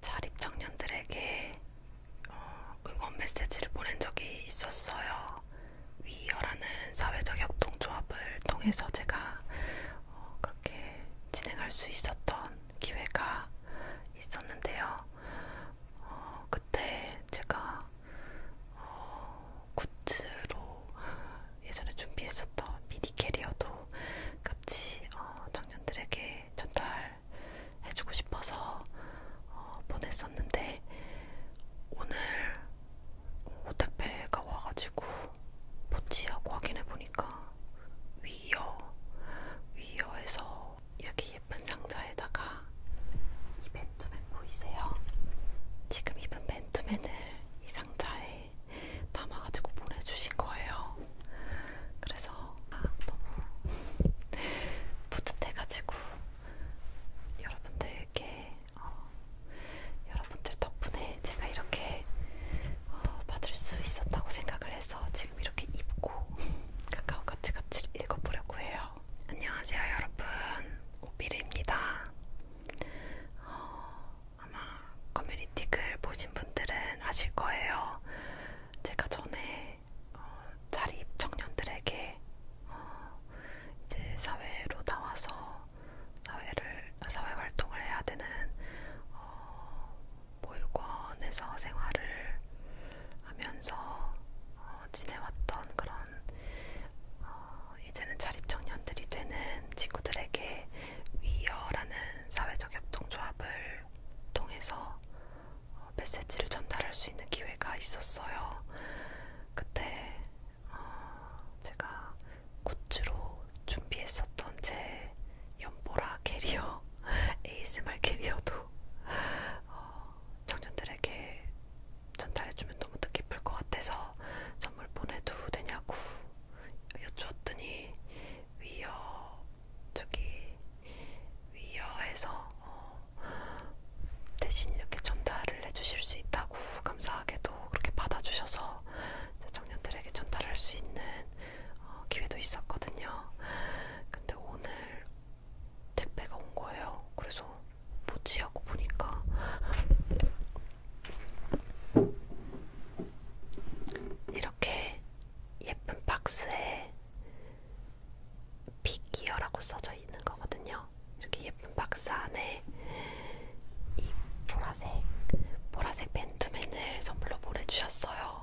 자립 청년들에게 어, 응원 메시지를 보낸 적이 있었어요. 위어라는 사회적 협동조합을 통해서 제가 어, 그렇게 진행할 수 있었던 기회가 있었는데요. 어, 그때 제가 어, 굿즈로 예전에 준비했었던 미니 캐리어도 같이 어, 청년들에게 이렇게 전달해주고 싶어서 어, 보냈었는데 오늘 오택배가 와가지고 포치하고 확인해보니까 위여 위여에서 이렇게 예쁜 상자에다가 이 맨투맨 보이세요? 지금 입은 맨투맨을 이 상자에 담아가지고 보내주신 거예요. 그래서 아, 너무 뿌듯해가지고 여러분들께 어, 여러분들 덕분에 제가 이렇게 어, 받을 수 있었다고 생각을 해서 지금 이렇게 입고 가까운 같이 같이 읽어보려고 해요. 안녕하세요, 여러분. 오비르입니다. 어, 아마 커뮤니티 글 보신 분들은 아실 거예요. 제가 전에 어, 자립 청년들에게 어, 이제 사회로 나와서 사회를 사회 활동을 해야 되는 어, 보육원에서 생활을 하면서 어, 지내왔던 그런 어, 이제는 자립 청년들이 되는 친구들에게 위여라는 사회적 협동조합을 통해서 어, 메시지를 전달할 수 있는 기회가 있었어요. 그때 어, 제가 굿즈로 준비했었던 제 연보라 캐리어, ASMR 캐리어도 어, 청년들에게 전달해주면 너무 뜻깊을 것 같아서 선물 보내도 되냐고 여쭈었더니 위어 저기 위여에서 어, 대신 이렇게 전달을 해주실 수 있다고 감사하게도 그렇게 받아주셔서 청년들에게 전달할 수 있는 어, 기회도 있었거든요. 근데 오늘 택배가 온 거예요. 그래서 뭐지 하고 보니까 이렇게 예쁜 박스에 빅이어라고 써져 있는 거거든요. 이렇게 예쁜 박스 안에 이 보라색 보라색 맨투맨을 선물로 보내주셨어요.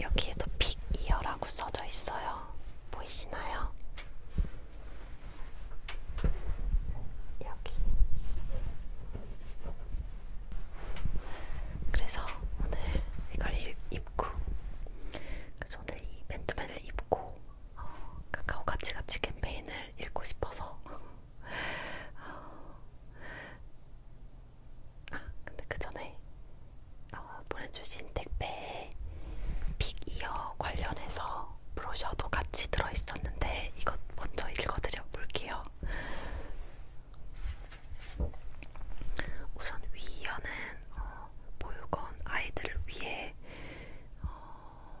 여기에도 빅이어라고 써져 있어요. 보이시나요? 여기. 그래서 오늘 이걸 입고, 그래서 오늘 이 맨투맨을 입고 어, 카카오 같이 같이 캠페인을 읽고 싶어서. 어, 아, 근데 그 전에 어, 보내주신 택배에 빅이어 관련해서 브로셔도 같이 들어있었는데 이것 먼저 읽어드려 볼게요. 우선 위연은 어, 보육원 아이들을 위해 어,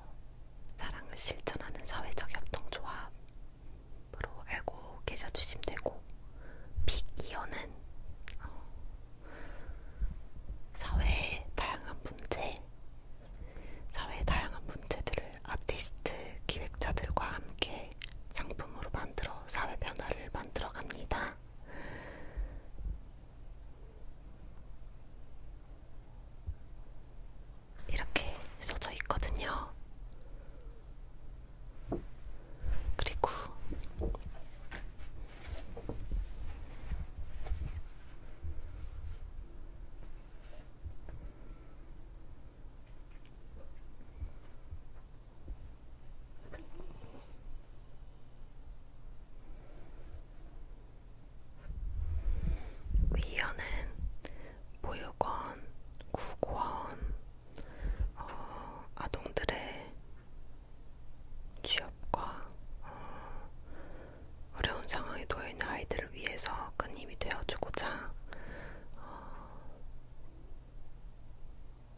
사랑을 실천하는 사회적 협동조합으로 알고 계셔주시면 되고 빅이연은 어, 사회의 다양한 문제 사회의 다양한 문제들을 아티스트, 기획자들과 함께 상품으로 만들어 사회 변화를 만들어 갑니다. 이렇게 써져 있거든요. 그리고 위원은 보육원, 구구원, 어, 아동들의 취업과 어, 어려운 상황에 놓여있는 아이들을 위해서 큰 힘이 되어주고자 어,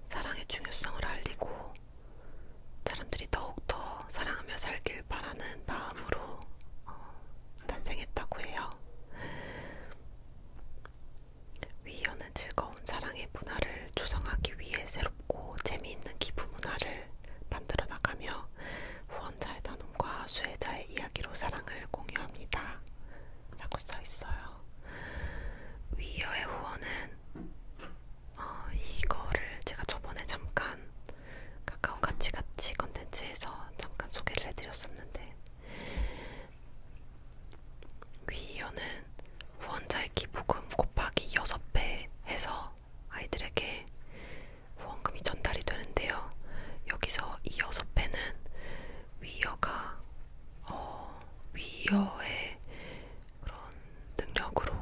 사랑의 중요성을 알리고 사람들이 더욱더 사랑하며 살길 바라는 마음으로 어, 탄생했다고 해요. 위연은 즐거운 사랑의 문화를 조성하기 위해 새롭고 재미있는 기부 문화를 만들어 나가며 후원자에 나눔 사람과 수혜자의 이야기로 사랑을 공유합니다. 라고 써있어요. 위여의 후원은 어, 이거를 제가 저번에 잠깐 카카오 같이같이 컨텐츠에서 잠깐 소개를 해드렸었는데 위여는 후원자의 기부금 곱하기 6배 해서 아이들에게 후원금이 전달이 되는데요. 여기서 이 여섯 배는 위여가 어, 위여의 그런 능력으로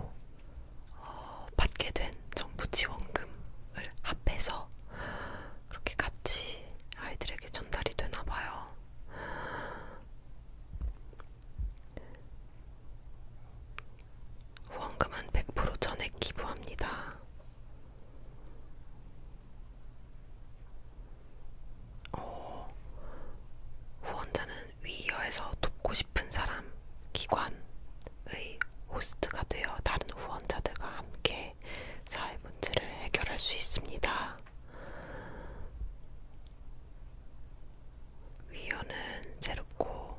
어, 받게 된 정부 지원금을 합해서 그렇게 같이 아이들에게 전달이 되나 봐요. 후원금은 100% 전액 기부합니다. 어, 후원자는 위이어에서 돕고 싶은 사람, 기관의 호스트가 되어 다른 후원자들과 함께 사회 문제를 해결할 수 있습니다. 위어는 새롭고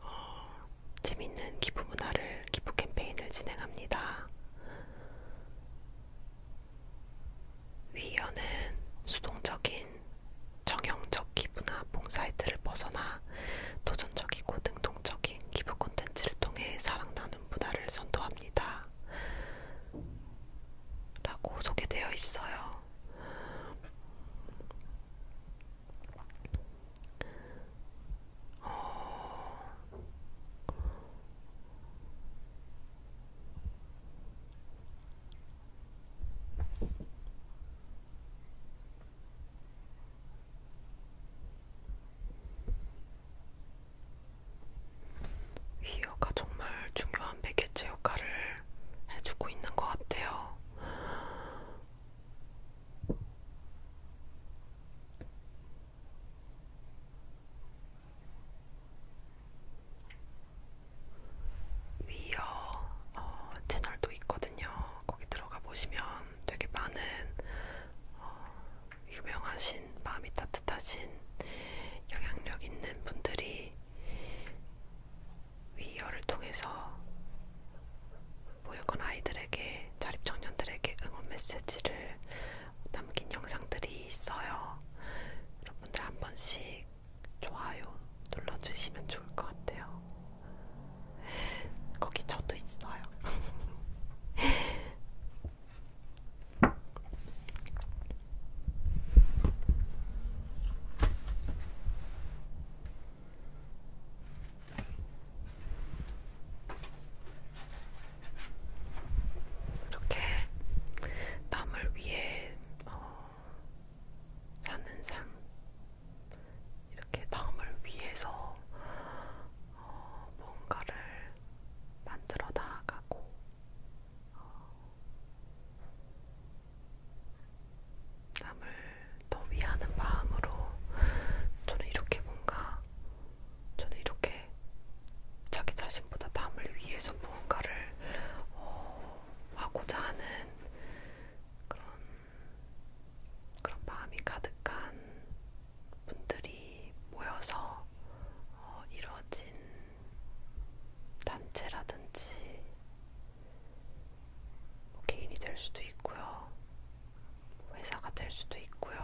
어, 재밌는 기부 문화를 기부 캠페인을 진행합니다. 위원은 수동적인 정형적 기부나 봉사이트를 벗어나 도전적이고 능동적인 기부 콘텐츠를 통해 사랑 나눈 문화를 선도합니다. 라고 소개되어 있어요. 어... 위어가 정말 중요한 매개체 역할을 해주고 있는 것 같아요. 위어 어, 채널도 있거든요. 거기 들어가 보시면 되게 많은 어, 유명하신 마음이 따뜻하신 영향력 있는 분들이 위어를 통해서 보육원 아이들에게 자립 청년들에게 응원 메시지를 남긴 영상들이 있어요. 여러분들 한 번씩 좋아요 눌러주시면 좋을 것 같아요. 거기 저도 있어요. 이렇게 남을 위해 어, 사는 삶, 이렇게 남을 위해서 어, 뭔가를 만들어 나가고. 어, 남을 더 위하는 마음으로 저는 이렇게 뭔가 저는 이렇게 자기 자신보다 남을 위해서 무언가를 어, 하고자 하는 그런 그런 마음이 가득한 분들이 모여서 어, 이루어진 단체라든지 뭐 개인이 될 수도 있고요. 회사가 될 수도 있고요.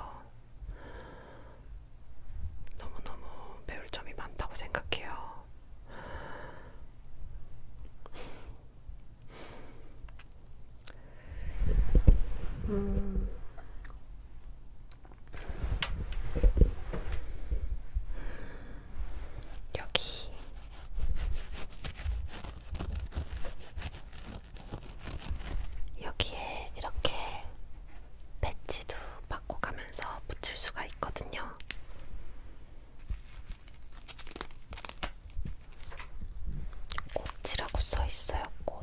너무너무 배울 점이 많다고 생각해요. 음. 여기 여기에 이렇게 배치도 바꿔가면서 붙일 수가 있거든요. 꽃이라고 써 있어요, 꽃.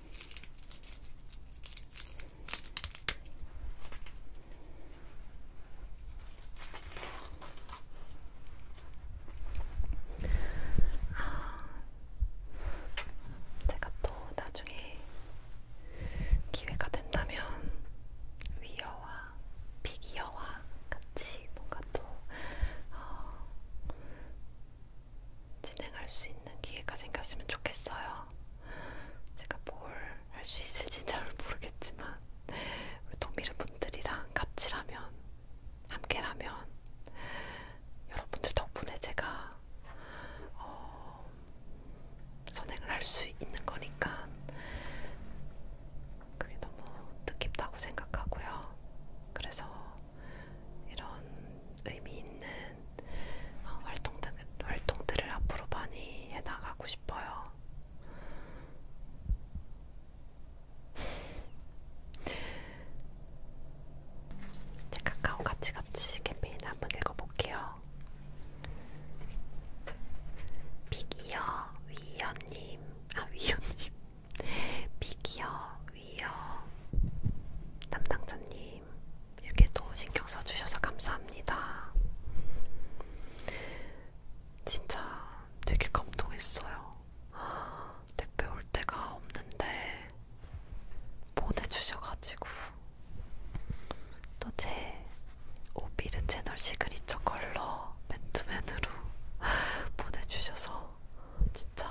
아, 제가 또 나중에 기회가 된다면 위어와 빅이어와 같이 뭔가 또 어, 진행할 수 있는 기회가 생겼으면 좋겠어요. 제가 뭘 할 수 있을지 잘 모르겠지만 우리 동미르 분들이랑 같이라면 함께라면 여러분들 덕분에 제가 어, 선행을 할 수 있는 거니까 그게 너무 뜻깊다고 생각하고요. 그래서 이런 의미 있는 어, 활동들, 활동들을 앞으로 많이 해나가고 싶어요. 제 카카오 같이 같이 캠페인 한번 읽어볼게요. 빅이어 위어님, 아 위어님, 빅이어 위어 담당자님. 님 이렇게도 신경 써주셔서 감사합니다. 진짜 되게 감동했어요. 택배 올 때가 없는데 보내주셔가지고 또 제 오비르 채널 시그니처 컬러 맨투맨으로 보내주셔서. 진짜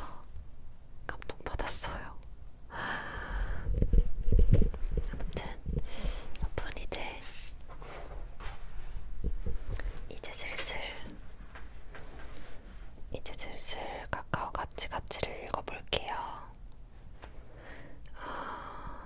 감동받았어요. 아무튼 여분 이제 이제 슬슬 이제 슬슬 카카오 같이 같이를 읽어볼게요. 아...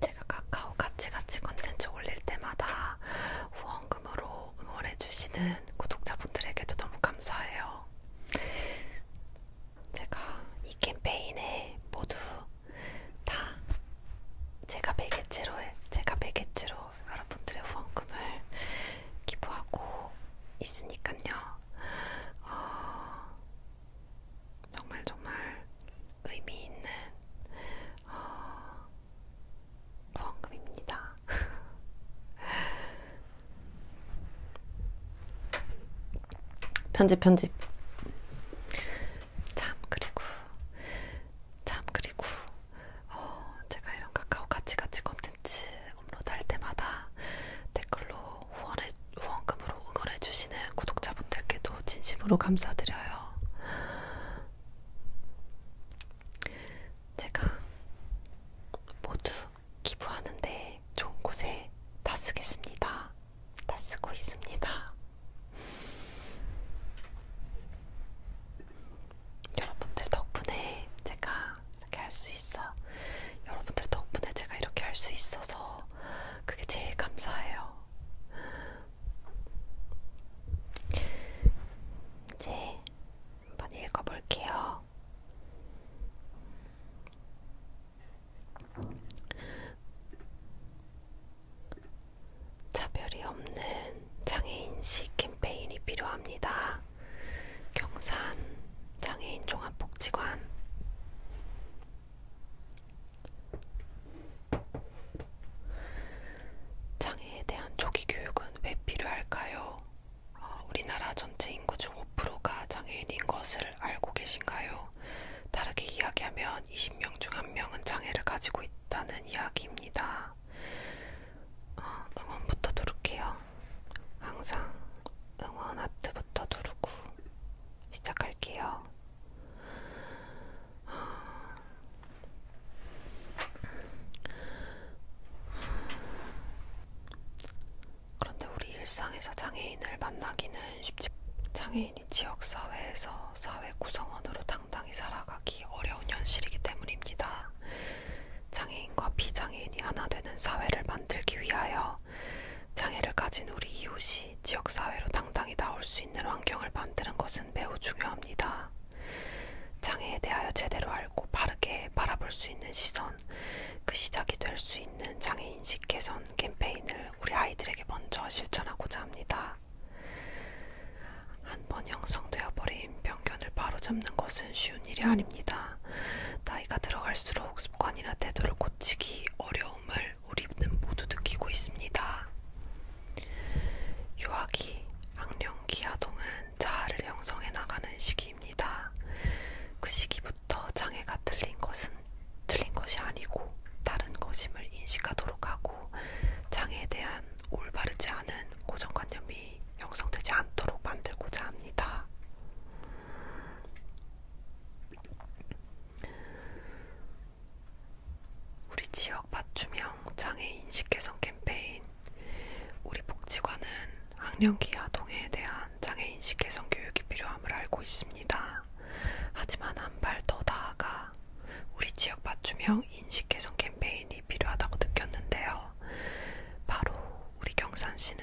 제가 카카오 같이같이 컨텐츠 올릴 때마다 후원금으로 응원해주시는 구독자분들에게도 너무 감사해요. 제가 이 캠페인에 모두 다 제가 매개체로 제가 매개체로 여러분들의 후원금을 기부하고 있으니까요. 어, 정말 정말 의미 있는 어, 후원금입니다. 편집 편집. 참 그리고 참 그리고 어, 제가 이런 가까워 같이 같이 컨텐츠 컨텐츠 업로드할 때마다 댓글로 후원해, 후원금으로 응원해주시는 구독자분들께도 진심으로 감사드려요. 제가 모두 기부하는데 좋은 곳에 다 쓰겠습니다. 다 쓰고 있습니다. 여러분들 덕분에 제가 이렇게 할 수 있어. 여러분들 덕분에 제가 이렇게 할 수 있어서 그게 제일 감사해요. 이제 한번 읽어볼게요. 차별이 없는 장애인식 캠페인이 필요합니다. 경산 장애인 종합복지관 장애에 대한 조기 교육은 왜 필요할까요? 어, 우리나라 전체 인구 중 5%가 장애인인 것을 알고 계신가요? 다르게 이야기하면 20명 중 1명은 장애를 가지고 있다는 이야기입니다. 어, 응원부터 누를게요. 항상 응원 하트부터 누르고 시작할게요. 그런데 우리 일상에서 장애인을 만나기는 쉽지 장애인이 지역사회에서 사회 구성원으로 당당히 살아가기 어려운 현실이기 때문입니다. 장애인과 비장애인이 하나 되는 사회를 만들기 위하여 장애를 가진 우리 이웃이 지역사회로 당당히 나올 수 있는 환경을 만드는 것은 매우 중요합니다. 장애에 대하여 제대로 알고 바르게 바라볼 수 있는 시선, 그 시작이 될 수 있는 장애인식 개선 캠페인을 우리 아이들에게 먼저 실천하고자 합니다. 한 번 형성되어 버린 편견을 바로잡는 것은 쉬운 일이 아닙니다. 있습니다. 나이가 들어갈수록 습관이나 태도를 고치기 어려움을 우리는 모두 느끼고 있습니다. 유아기, 학령기 아동은 자아를 형성해 나가는 시기입니다. 그 시기부터 장애가 틀린 것은 틀린 것이 아니고 다른 것임을 인식하도록 하고 장애에 대한 올바르지 않은 고정관념이 형성되지 않도록 만들고자 합니다. 우리 지역 맞춤형 장애 인식 개선 캠페인 우리 복지관은 학령기 아동에 대한 장애 인식 개선 교육이 필요함을 알고 있습니다. 하지만 한 발 더 나아가 우리 지역 맞춤형 인식 개선 캠페인이 필요하다고 느꼈는데요. 바로 우리 경산시는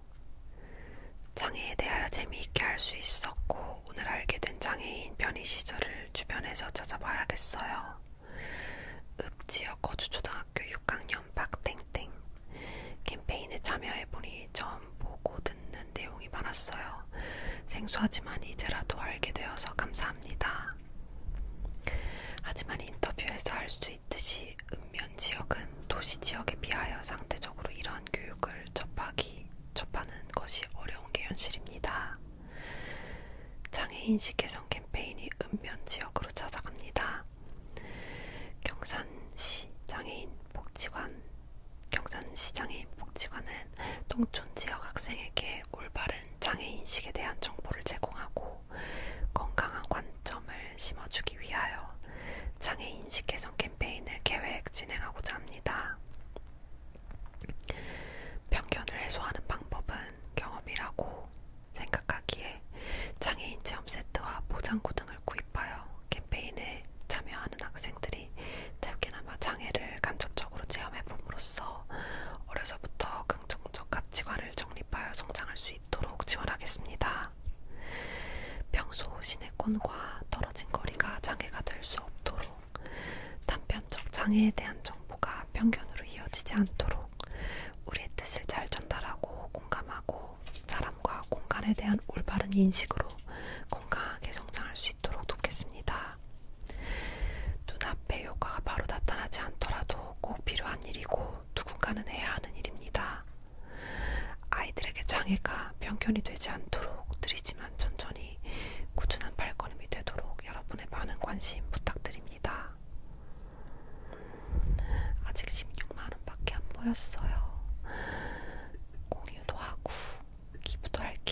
장애에 대하여 재미있게 할 수 있었고 오늘 알게 된 장애인 변이 시절을 주변에서 찾아봐야겠어요. 읍 지역 거주 초등학교 6학년 박땡땡 캠페인에 참여해보니 처음 보고 듣는 내용이 많았어요. 생소하지만 이제라도 알게 되어서 감사합니다. 하지만 인터뷰에서 할수 있듯이 읍면 지역은 도시 지역에 비하여 상대적으로 이러한 교육을 접하기 특히 접하는 것이 어려운 게 현실입니다. 장애인식 개선 캠페인이 읍면 지역으로 찾아갑니다. 경산시 장애인 복지관 경산시 장애인 복지관은 동촌 지역 학생에게 올바른 장애인식에 대한 정보를 제공하고 건강한 관점을 심어주기 위하여 장애 인식 개선 캠페인을 계획 진행하고자 합니다. 편견을 해소하는 방법은 경험이라고 생각하기에 장애인 체험 세트와 보장구 등을 구입하여 캠페인에 참여하는 학생들이 짧게나마 장애를 간접적으로 체험해봄으로써 어려서부터 긍정적 가치관을 정립하여 성장할 수 있도록 지원하겠습니다. 있습니다. 평소 시내권과 떨어진 거리가 장애가 될 수 없도록 단편적 장애에 대한 정보가 편견으로 이어지지 않도록 우리의 뜻을 잘 전달하고 공감하고 사람과 공간에 대한 올바른 인식으로 건강하게 성장할 수 있도록 돕겠습니다. 눈앞에 효과가 바로 나타나지 않더라도 꼭 필요한 일이고 누군가는 해야 하는 일입니다. 아이들에게 장애가 편견이 되지 않도록 드리지만 천천히 꾸준한 발걸음이 되도록 여러분의 많은 관심 부탁드립니다. 아직 16만원밖에 안 보였어요. 공유도 하고 기부도 할게요.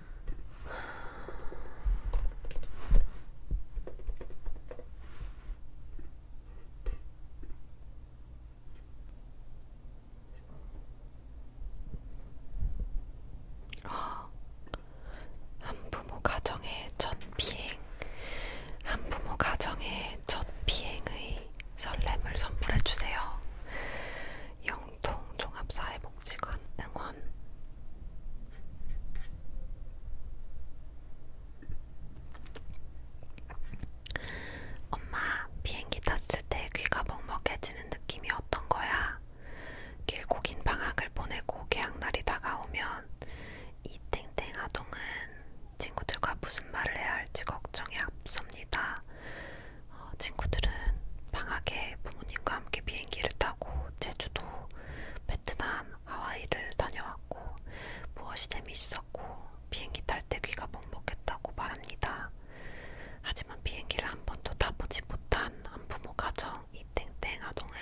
어, 한부모 가정의 첫 비행, 한부모 가정의 첫 비행의 설렘을 선물해 주세요. 영통 종합사회복 복지관 응원 엄마 비행기 탔을 때 귀가 먹먹해지는 느낌이 어떤 거야? 길고 긴 방학을 보내고 개학날이 다가오면 이 땡땡 아동은 친구들과 무슨 말을 해야 할지 걱정이 앞섭니다. 어, 친구들은 방학에 부모님과 함께 비행기를 타고 제주도, 베트남, 하와이를 다녀왔고 무엇이 재미있었고 비행기 탈 때 귀가 먹먹했다고 말합니다. 하지만 비행기를 한 번도 타보지 못한 한 부모 가정 이 땡땡 아동은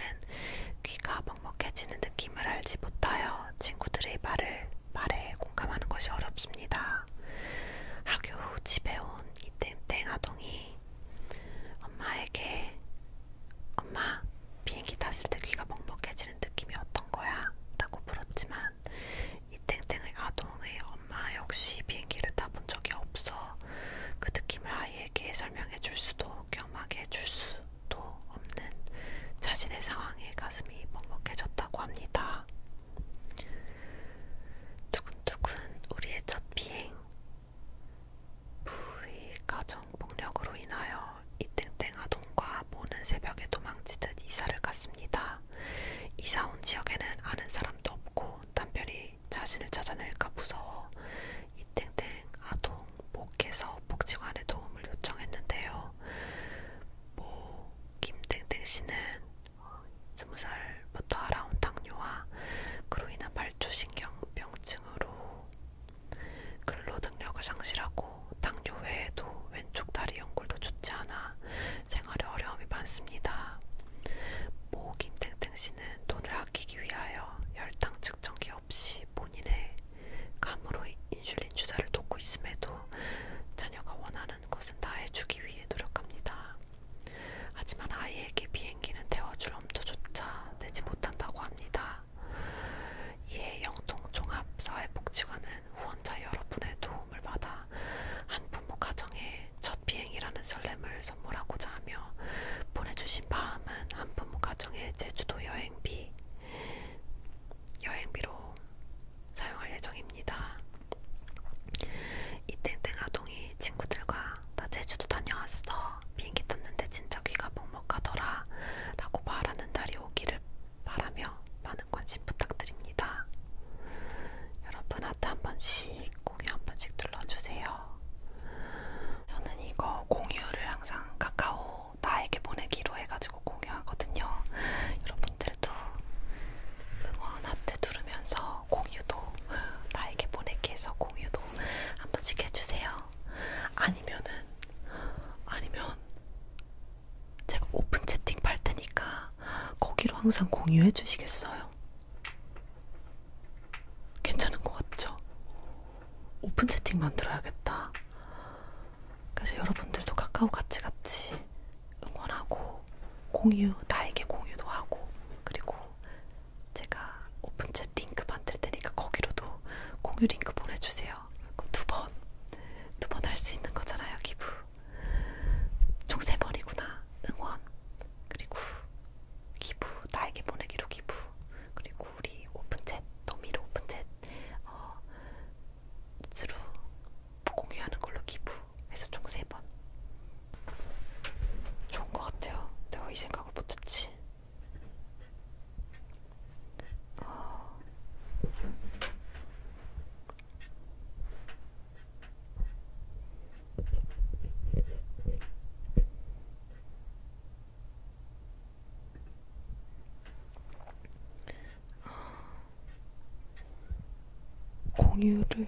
귀가 먹먹해지는 느낌을 알지 못하여 친구들의 말을 말에 공감하는 것이 어렵습니다. 학교 후 집에 온이 땡땡 아동이 엄마에게 엄마 비행기 탔을 때 귀가 먹먹해지는 느낌이 어떤 거야? 라고 물었지만 이 땡땡의 아동의 엄마 역시 비행기를 타본 적이 없어 그 느낌을 아이에게 설명해 줄 수도 경험하게 해줄 수도 없는 자신의 상황에 가슴이 먹먹해졌다고 합니다. 뚝뚝은 우리의 첫 비행. 부의 가정 폭력으로 인하여 이땡땡 아동과 모는 새벽에 도망치듯 이사를 갔습니다. 이사 온 지역에는 아는 사람도 없고 남편이 자신을 찾아낼까 무서워 이땡땡 아동 목에서 복지관의 도움을 요청했는데요. 모 뭐 김땡땡 씨는 스무 살부터 알아온 당뇨와 그로 인한 발주신경병증으로 근로 능력을 상실하고 당뇨 외에도 왼쪽 다리 연골도 좋지 않아 생활에 어려움이 많습니다. 모 김땡땡 씨는 돈을 아끼기 위하여 혈당 측정기 없이 본인의 감으로 인슐린 주사를 돕고 있음에도 자녀가 원하는 것은 다 해주기 위해 노력합니다. 하지만 아이에게 비행기는 태워줄 엄두조차 내지 못한다고 합니다. 이에 영통종합사회복지관은 후원자 여러분의 도움을 받아 한 부모 가정에 첫 비행이라는 설렘을 선물하고자 하며 보내주신 마음은 한 부모 가정의 제주도 여행비, 여행비로 사용할 예정입니다. 이 땡땡 아동이 친구들과 나 제주도 다녀왔어. 비행기 탔는데 진짜 귀가 먹먹하더라. 라고 말하는 날이 오기를 바라며 많은 관심 부탁드립니다. 여러분 하트 한 번씩 공유 한 번씩 눌러주세요. 저는 이거 공유를 항상 카카오 나에게 보내기로 해가지고 공유하거든요. 여러분들도 응원 하트 누르면서 공유도 나에게 보내기 해서 공유도 한 번씩 해주세요. 아니면은 아니면 제가 오픈 채팅 팔 테니까 거기로 항상 공유해 주시겠어요? 괜찮은 것 같죠? 오픈 채팅 만들어야겠다. 그래서 여러분들도 카카오 같이 같이 응원하고 공유, 나에게 공유도 하고, 그리고 제가 오픈챗 링크 만들 테니까 거기로도 공유 링크 보내주세요. 그럼 두 번, 두 번 할 수 있는 거잖아요, 기부. 총세 번이구나. 응원, 그리고 기부, 나에게 보내기로 기부, 그리고 우리 오픈챗, 도미로 오픈챗, 어, 스루 공유하는 걸로 기부. 해서 총 3번 좋은 것 같아요 내가 이 생각을 못했지 어... 공유를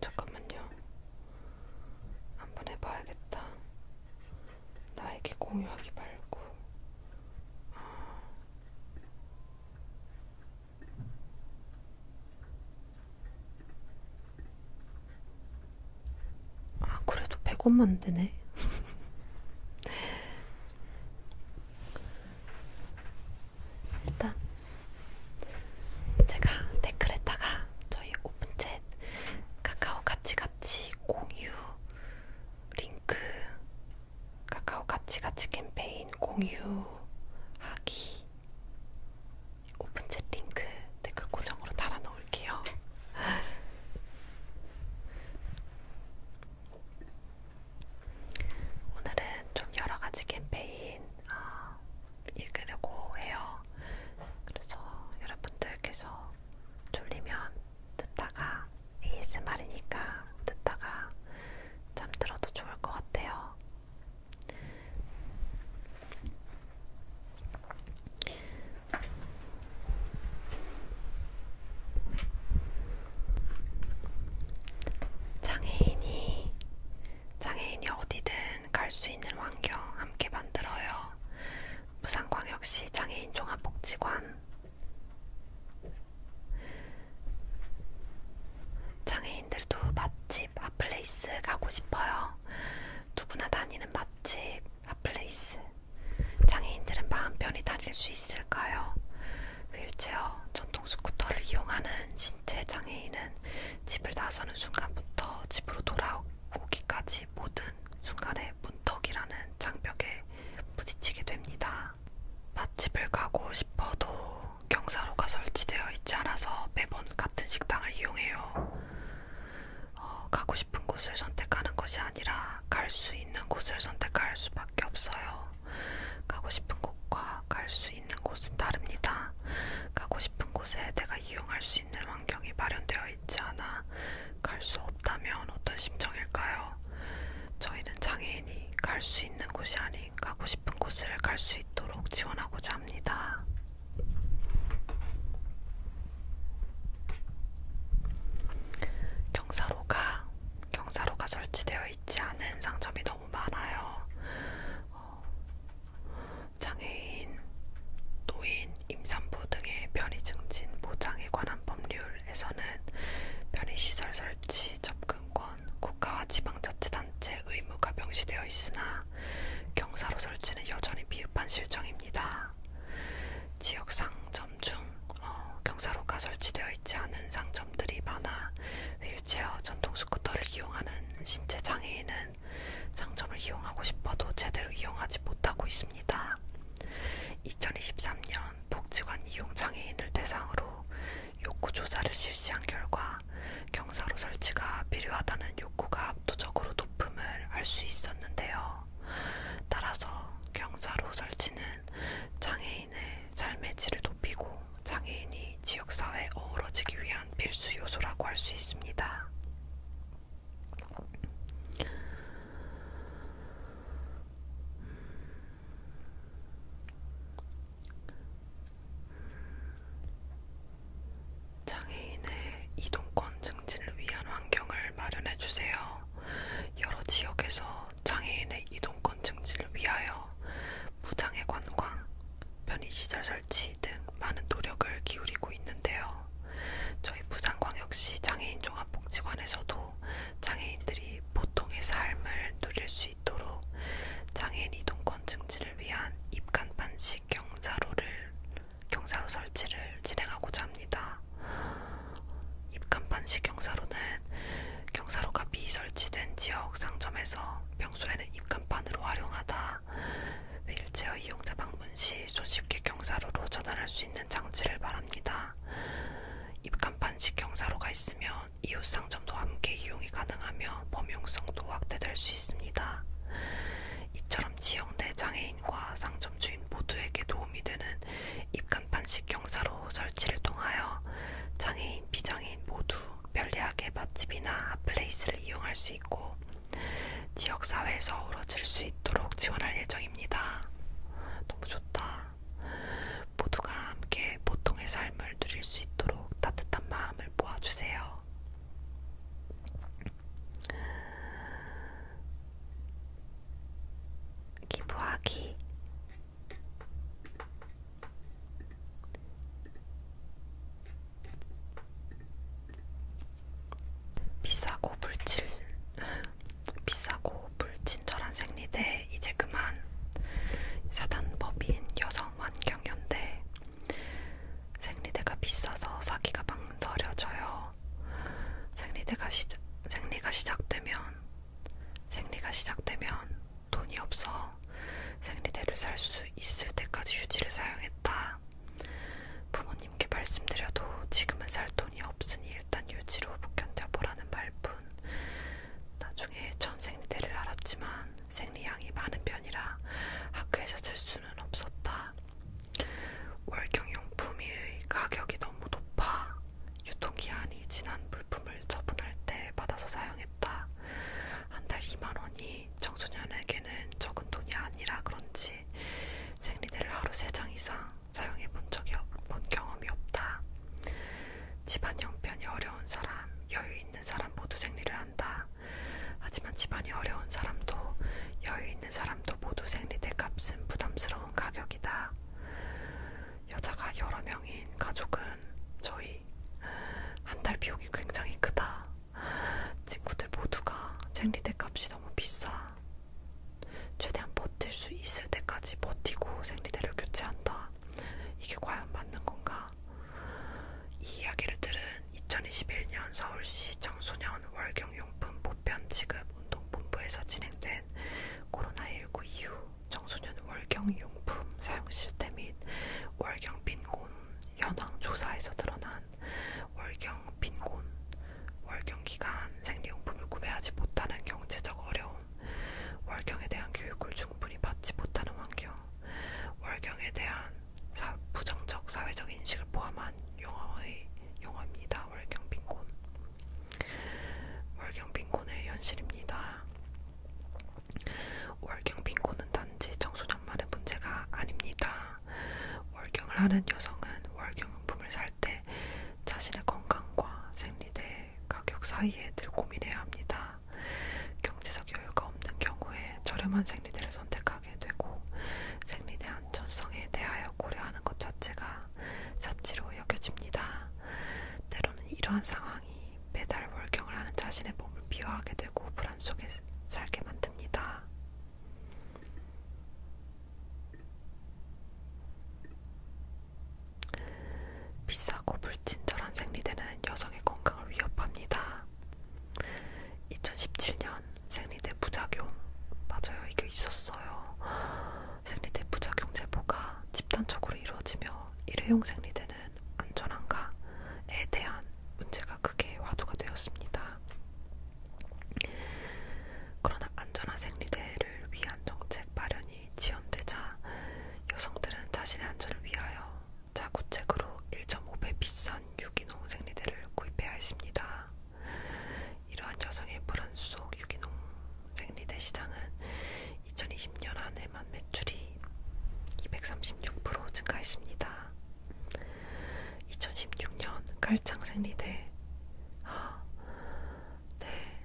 잠깐만요. 한번 해봐야겠다. 나에게 공유하기 말고. 아. 아, 그래도 100원만 되네. 일단 제가 댓글에다가 저희 오픈챗 카카오 같이같이 공유 링크 카카오 같이같이 캠페인 공유하기 오픈챗 링크 댓글 고정으로 달아 놓을게요. 오늘은 좀 여러 가지 캠페인 어, 읽으려고 해요. 그래서 여러분들께서 졸리면 듣다가 ASMR이니까 듣다가 잠들어도 좋을 것 같아요. 장애인이 장애인이 어디든 갈 수 있는 환경 함께 만들어요. 부산광역시 장애인 종합복지관 장애인들도 맛집, 핫플레이스 가고 싶어요. 누구나 다니는 맛집, 핫플레이스 장애인들은 마음 편히 다닐 수 있을까요? 휠체어, 전통 스쿠터를 이용하는 신체 장애인은 집을 나서는 순간부터 집으로 돌아오기까지 모든 순간에 문턱이라는 장벽에 부딪히게 됩니다. 맛집을 가고 싶어도 경사로가 설치되어 있지 않아서 매번 같은 식당을 이용해요. 어, 가고 싶은 곳을 선택하는 것이 아니라 갈 수 있는 곳을 선택할 수밖에 없어요. 가고 싶은 곳과 갈수 수 있는 곳은 다릅니다. 가고 싶은 곳에 내가 이용할 수 있는 환경이 마련되어 있지 않아 갈 수 없다면 어떤 심정일까요? 저희는 장애인이 갈 수 있는 곳이 아닌 가고 싶은 곳을 갈 수 있도록 지원하고자 합니다. 경사로가 경사로가 설치되어 있지 않은 상점이 너무 많아요. 어, 장애인, 노인, 임산부 등의 편의 증진 보장에 관한 법률에서는 편의시설 설치 접근권 국가와 지방자치단체 의무가 명시되어 있으나 경사로 설치는 여전히 미흡한 실정입니다. 지역 상점 중 어, 경사로가 설치되어 있지 않은 상점들이 많아 휠체어 전동 스쿠터를 이용하는 신체 장애인은 사람들은 상점을 이용하고 싶어도 제대로 이용하지 못하고 있습니다. 2023년 복지관 이용 장애인을 대상으로 욕구 조사를 실시한 결과 경사로 설치가 필요하다는 욕구가 압도적으로 높음을 알 수 있었는데요. 따라서 경사로 설치는 장애인의 삶의 질을 높이고 장애인이 지역사회에 어우러지기 위한 중요한 필수 요소라고 할 수 있습니다. 장애인의 이동권 증진을 위한 환경을 마련해 주세요. 여러 지역에서 장애인의 이동권 증진을 위하여 무장애 관광, 편의시설 설치 등 많은 노력을 기울이고 있는데요. 저희 부산광역시 장애인 종합복지관에서도 장애인들이 보통의 삶을 누릴 수 있도록 장애인 이동권 증진을 위한 입간판식 경사로를 경사로 설치를 진행하고자 합니다. 입간판식 경사로는 경사로가 미설치된 지역 상점에서 평소에는 입간판으로 활용하다 휠체어 이용자 방문 시 손쉽게 경사로로 전환할 수 있는 장치를 말합니다. 입간판식 경사로가 있으면 이웃 상점도 함께 이용이 가능하며 범용성도 확대될 수 있습니다. 이처럼 지역 내 장애인과 상점 주인 모두에게 도움이 되는 입간판식 경사로 설치를 통하여 장애인, 비장애인 모두 편리하게 맛집이나 핫플레이스를 이용할 수 있고 지역사회에서 어우러질 수 있도록 지원할 예정입니다. 너무 좋다. 모두가 함께 보통의 삶을 누릴 수 있도록 따뜻한 마음을 모아주세요. 기부하기 비싸고 불친 비싸고 불친절한 생리대 이제 그만 사단법인 여성환경연대 생리대가 비싸서 사기가 망설여져요. 생리대가 시작 생리가 시작되면 생리가 시작되면 돈이 없어 생리대를 살 수 있을 때까지 휴지를 사용했다. 부모님께 말씀드려도 지금은 살 돈이 없으니 일단 유지로 견뎌보라는 말뿐 나중에 전생리대를 알았지만 생리양이 많은 편이라 학교에서 쓸 수는 없었다. 월경용품의 가격이 너무 높아 유통기한이 지난 물품을 처분할 때 받아서 사용했다. 한 달 2만원이 이 청소년에게는 적은 돈이 아니라 그런지 생리대를 하루 3장 이상 사용해 본 적이 본 경험이 없다. 집안 형편이 어려운 사람, 여유 있는 사람 모두 생리를 한다. 하지만 집안이 어려운 사람도 여유 있는 사람도 모두 생리대 값은 부담스러운 가격이다. 여자가 여러 명인 가족은 저희 한 달 비용이 굉장히 크다. 친구들 모두가 생리대 값이 너무 비싸. 최대한 버틸 수 있을 때까지 버티고 생리대를 교체한다. 이게 과연 맞는 건가? 이 이야기를 들은 2021년 서울시 청소년 월경용품 보편 지급 운동본부에서 진행된 코로나19 이후 청소년 월경용품 사용 실태 및 월경빈곤 현황 조사에서 드러난 기간, 월경 빈곤, 월경 기간 생리용품을 구매하지 못하는 경제적 어려움, 월경에 대한 교육을 충분히 받지 못하는 환경, 월경에 대한 사, 부정적 사회적 인식을 포함한 용어의 용어입니다. 월경 빈곤, 월경 빈곤의 현실입니다. 월경 빈곤은 단지 청소년만의 문제가 아닙니다. 월경을 하는 여성은 월경용품을 살 때 자신의 건강과 생리대 가격 사이에 늘 고민해야 합니다. 경제적 여유가 없는 경우에 저렴한 생리대를 선택하게 되고 생리대 안전성에 대하여 고려하는 것 자체가 사치로 여겨집니다. 때로는 이러한 상황이 매달 월경을 하는 자신의 몸을 비화하게 되고 불안 속에 살게 만듭니다. 비싸고 불친절한 생리대는 여성의 건강을 위협합니다. 2017년 생리대 부작용 맞아요 이게 있었어요. 생리대 부작용 제보가 집단적으로 이루어지며 일회용 생리대는 안전한가에 대한 문제가 크게 화두가 되었습니다. 그러나 안전한 생리대를 위한 정책 마련이 지연되자 여성들은 자신의 안전을 위하여 자구책으로 1.5배 비싼 유기농 생리대를 구입해야 했습니다. 이러한 여성의 불안 속 유기농 생리대 시장은 2020년 한 해만 매출이 236% 증가했습니다. 2016년 갈창생리대 아, 네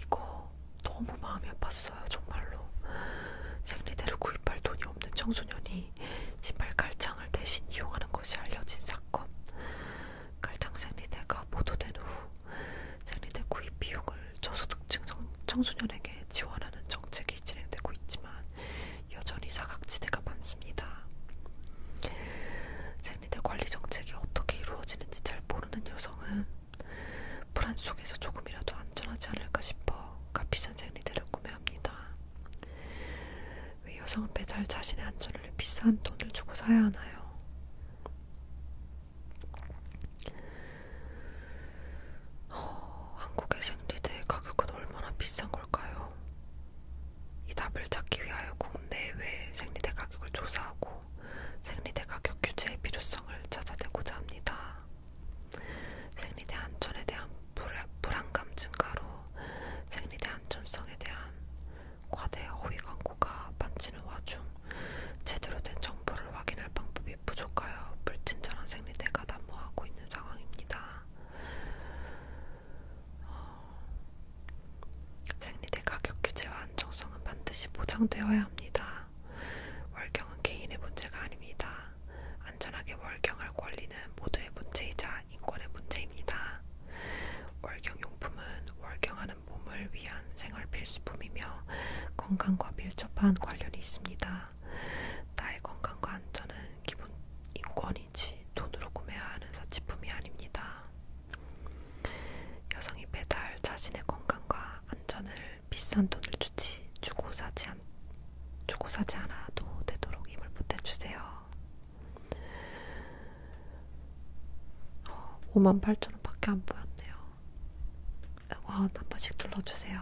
이거 너무 마음이 아팠어요 정말로 생리대를 구입할 돈이 없는 청소년이 신발 갈창을 대신 이용하는 것이 알려진 사건 갈창 생리대가 보도된 후 생리대 구입 비용을 저소득층 청소년에게 지원하는 정책이 진행되고 있지만 여전히 사각지대가 많습니다. 생리대 관리 정책이 어떻게 이루어지는지 잘 모르는 여성은 불안 속에서 조금이라도 안전하지 않을까 싶어 값비싼 생리대를 구매합니다. 왜 여성은 매달 자신의 안전을 비싼 돈을 주고 사야 하나요? 어, 한국의 생리대 가격은 얼마나 비싼 걸까요? 이 답을 찾기 위하여 국내외 생리대 가격을 조사하고 생리대 가격 규제의 필요성을 찾아내고자 합니다. 생리대 안전에 대한 불안감 증가로 생리대 안전성에 대한 과대 허위 광고가 반치는 와중 제대로 된 정보를 확인할 방법이 부족하여 불친절한 생리대가 난무하고 있는 상황입니다. 어, 생리대 가격 규제와 안정성은 반드시 보장되어야 합니다. 월경은 개인의 문제가 아닙니다. 안전하게 월경할 권리는 모두의 문제이자 인권의 문제입니다. 월경용품은 월경하는 몸을 위한 생활 필수품이며 건강과 밀접한 관련이 있습니다. 나의 건강과 안전은 기본 인권이 물건이지 돈으로 구매해야 하는 사치품이 아닙니다. 여성이 매달 자신의 건강과 안전을 비싼 돈을 주지 주고 사지, 않, 주고 사지 않아도 되도록 힘을 보태주세요. 어, 5만 8천 원밖에 안 보였네요. 응원 한 번씩 둘러주세요.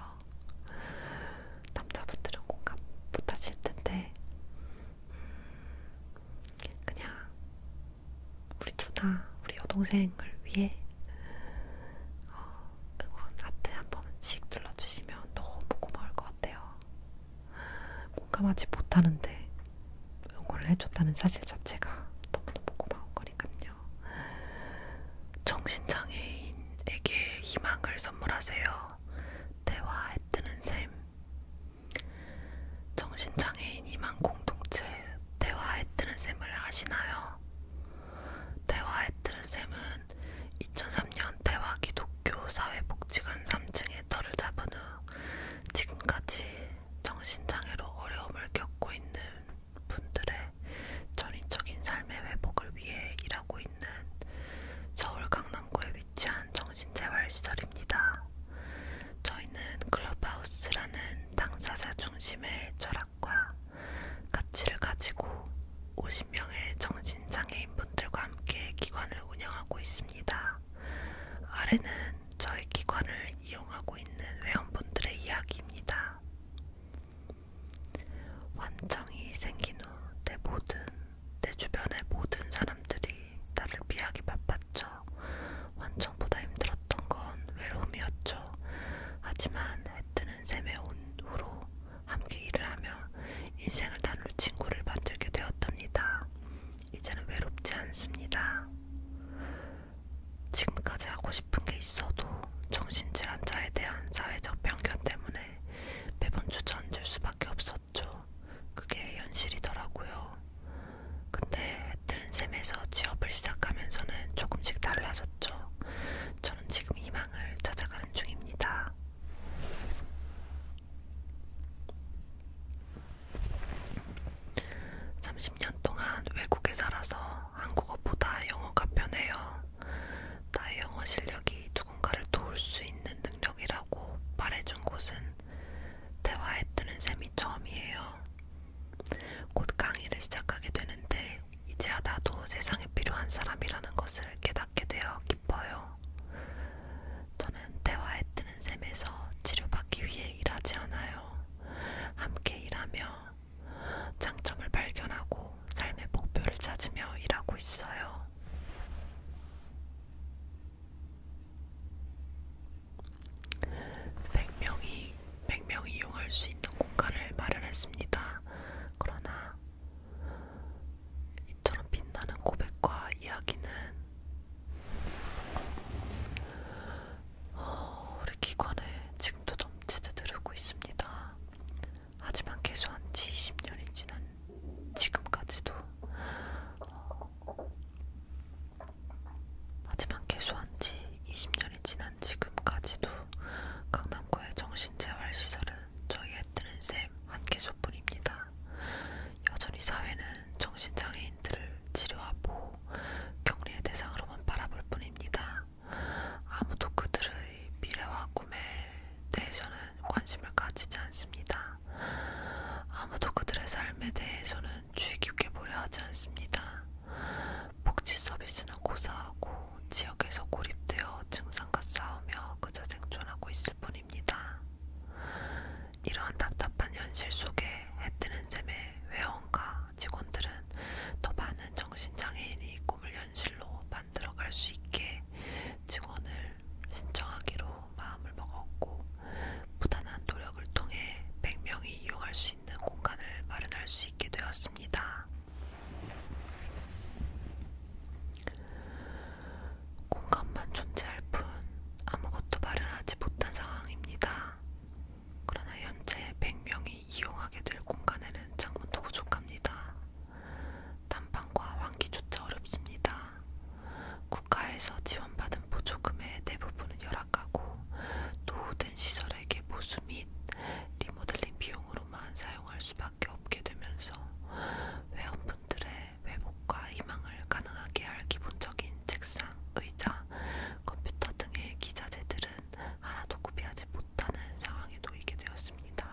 남자분들은 공감 못하실 텐데 그냥 우리 두나 우리 여동생을 위해 어, 응원 하트 한 번씩 눌러주시면 너무 고마울 것 같아요. 공감하지 못하는데 응원을 해줬다는 사실 자체가 너무너무 고마운 거니까요. 정신장애인에게 희망을 선물하세요. 대화에 뜨는 셈. 정신장애인 이만 공동체 대화의 트른셈을 아시나요? 대화의 트른셈은 2003년 대화 기독교 사회복지관 3층에 터를 잡은 후 지금까지 정신장애로 어려움을 겪고 있는 분들의 전인적인 삶의 회복을 위해 일하고 있는 서울 강남구에 위치한 정신재활시설입니다. 저희는 클럽하우스라는 당사자 중심의 철학과 가치를 가지고 50명의 정신장애인분들과 함께 기관을 운영하고 있습니다. 아래는 저희 기관을 이용하고 있는 회원분들의 이야기입니다. 환청이 생긴 후 내 모든 내 주변의 모든 사람들이 나를 피하기 바빴죠. 완청보다 힘들었던 건 외로움이었죠. 하지만 해뜨는 샘에 온 후로 함께 일을 하며 인생을 나눌 친구를 만들게 되었답니다. 이제는 외롭지 않습니다. 지금까지 하고 싶은 게 있어도 정신질환자에 대한 사회적 편견 때문에 매번 주저앉을 수밖에 없었어요. 있었죠. 그게 현실이더라고요. 근데 했던 셈에서 취업을 시작하면서는 조금씩 달라졌죠. 저는 지금 희망을 찾아가는 중입니다. 삼십 년 동안 외국에 살아서 한국어보다 영어가 편해요. 나의 영어 실력이 두 누군가를 도울 수 있는 능력이라고 말해준 곳은 대화에 뜨는 셈이 처음이에요. 곧 강의를 시작하게 되는데 이제야 나도 세상에 필요한 사람이라는 것을 깨닫게 되어 기뻐요. 저는 대화에 뜨는 셈에서 치료받기 위해 일하지 않아요. 함께 일하며 장점을 발견하고 삶의 목표를 찾으며 일하고 있어요. 100명이 100명이 이용할 수 있는 공간을 마련했습니다. 그러나 이처럼 빛나는 고백과 이야기는 어, 우리 기관에 지금도 넘치듯 흐르고 있습니다. 하지만 개소한 지 20년이 지난 지금까지도 어, 하지만 개소한지 20년이 지난 지금까지도 강남구의 정신재활시설은 저희의 뜨는 셈한 개소뿐입니다. 여전히 사회는 정신장애인들을 치료하고 격리의 대상으로만 바라볼 뿐입니다. 아무도 그들의 미래와 꿈에 대해서는 관심을 가지지 않습니다. 아무도 그들의 삶에 대해서는 주의 깊게 보려 하지 않습니다. 복지 서비스는 고사하고 지역에서 고립되어 증상과 싸우며 그저 생존하고 있을 뿐입니다. 이러한 답답한 현실 속에 해뜨는 잼의 회원과 직원들은 더 많은 정신장애인이 꿈을 현실로 만들어갈 수 있게 직원을 신청하기로 마음을 먹었고 부단한 노력을 통해 100명이 이용할 수 있는 공간을 마련할 수 있게 되었습니다. 공간만 존재할 뿐 아무것도 마련하지 못한 상황입니다. 그러나 현재 100명이 이용하게 될 공간에는 창문도 부족합니다. 난방과 환기조차 어렵습니다. 국가에서 지원받은 보조금의 대부분은 열악하고 노후된 시설에게 보수 및 리모델링 비용으로만 사용할 수밖에 없게 되면서 회원분들의 회복과 희망을 가능하게 할 기본적인 책상, 의자, 컴퓨터 등의 기자재들은 하나도 구비하지 못하는 상황에 놓이게 되었습니다.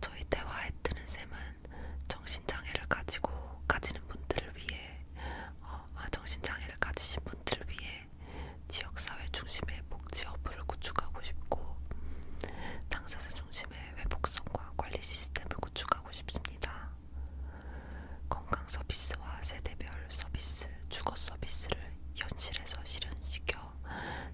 저희 대화에 드는 셈은 정신장애를 가지고 가지는 분들을 위해 어, 아, 정신장애를 가지신 분들을 위해 지역사회 중심의 복지 어플을 구축하고 싶고 당사자 중심의 회복성과 관리 시스템을 구축하고 싶습니다. 건강 서비스와 세대별 서비스, 주거 서비스를 현실에서 실현시켜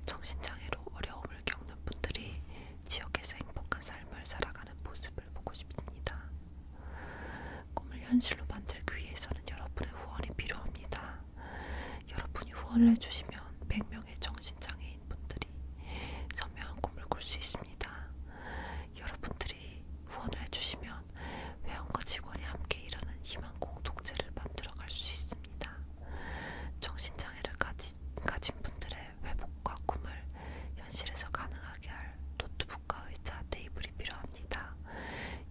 정신장애로 어려움을 겪는 분들이 지역에서 행복한 삶을 살아가는 모습을 보고 싶습니다. 꿈을 현실로 만들기 위해서는 여러분의 후원이 필요합니다. 여러분이 후원을 해주시면 100명의 정신장애인 분들이 선명한 꿈을 꿀 수 있습니다. 여러분들이 후원을 해주시면 회원과 직원이 함께 일하는 희망 공동체를 만들어갈 수 있습니다. 정신장애를 가진 가진 분들의 회복과 꿈을 현실에서 가능하게 할 노트북과 의자, 테이블이 필요합니다.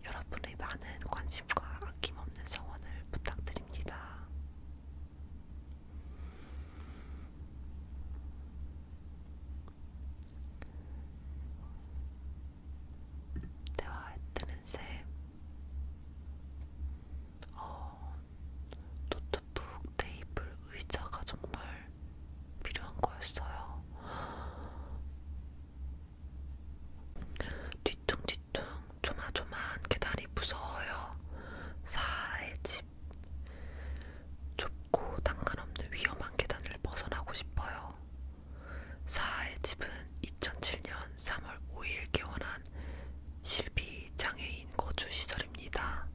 여러분의 많은 관심과 아낌없는 성원을 부탁드립니다. 대화에 뜨는 새 어, 노트북, 테이블, 의자가 정말 필요한 거였어요. 뒤뚱뒤뚱 조마조마한 계단이 무서워요. 사의 집. 좁고 당간없는 위험한 계단을 벗어나고 싶어요. 사의 집은 2007년 3월 5일 개원한 실비 장애인 거주 시설입니다.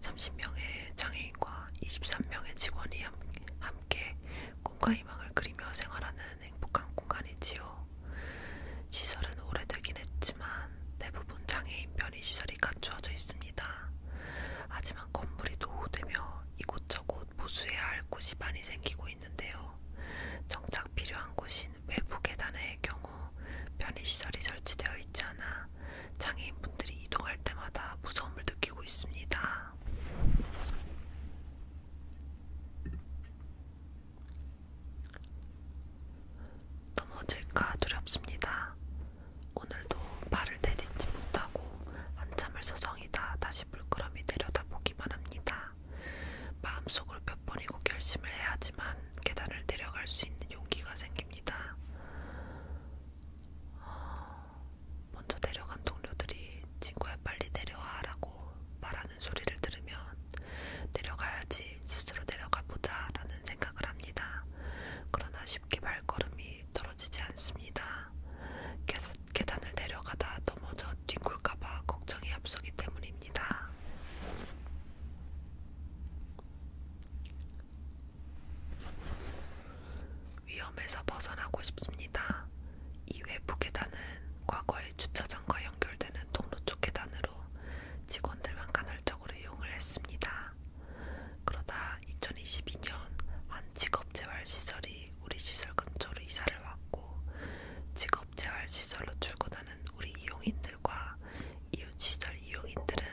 30명의 장애인과 23명의 직원이 함께 꿈과 희망을 그리며 생활하는 행복한 공간이지요. 시설은 오래되긴 했지만 대부분 장애인 편의 시설이 갖추어져 있습니다. 하지만 건물이 노후되며 이곳저곳 보수해야 할 곳이 많이 생기고 있는데요. 정착 필요한 곳이 대신 외부 계단의 경우 편의시설이 설치되어 있지 않아 장애인분들이 이동할 때마다 무서움을 느끼고 있습니다. 넘어질까 두렵습니다. 오늘도 발을 내딛지 못하고 한참을 서성이다 다시 물끄러미 내려다보기만 합니다. 마음속으로 몇 번이고 결심을 해야지만 계단을 내려갈 수 있는 용기가 생깁니다. 어, 먼저 내려간 동료들이 친구야 빨리 내려와라고 말하는 소리를 들으면 내려가야지 스스로 내려가 보자라는 생각을 합니다. 그러나 쉽게 발걸음이 떨어지지 않습니다. 계단을 내려가다 넘어져 뒹굴까봐 걱정이 앞서기 때문입니다. 위험에서 벗어나고 싶습니다. 이 외부 계단은 과거의 주차장과 연결되는 통로 쪽 계단으로 직원들만 간헐적으로 이용을 했습니다. 그러다 2022년 한 직업재활시설이 우리 시설 근처로 이사를 왔고 직업재활시설로 출근하는 우리 이용인들 사람들과 이웃시설 이용인들은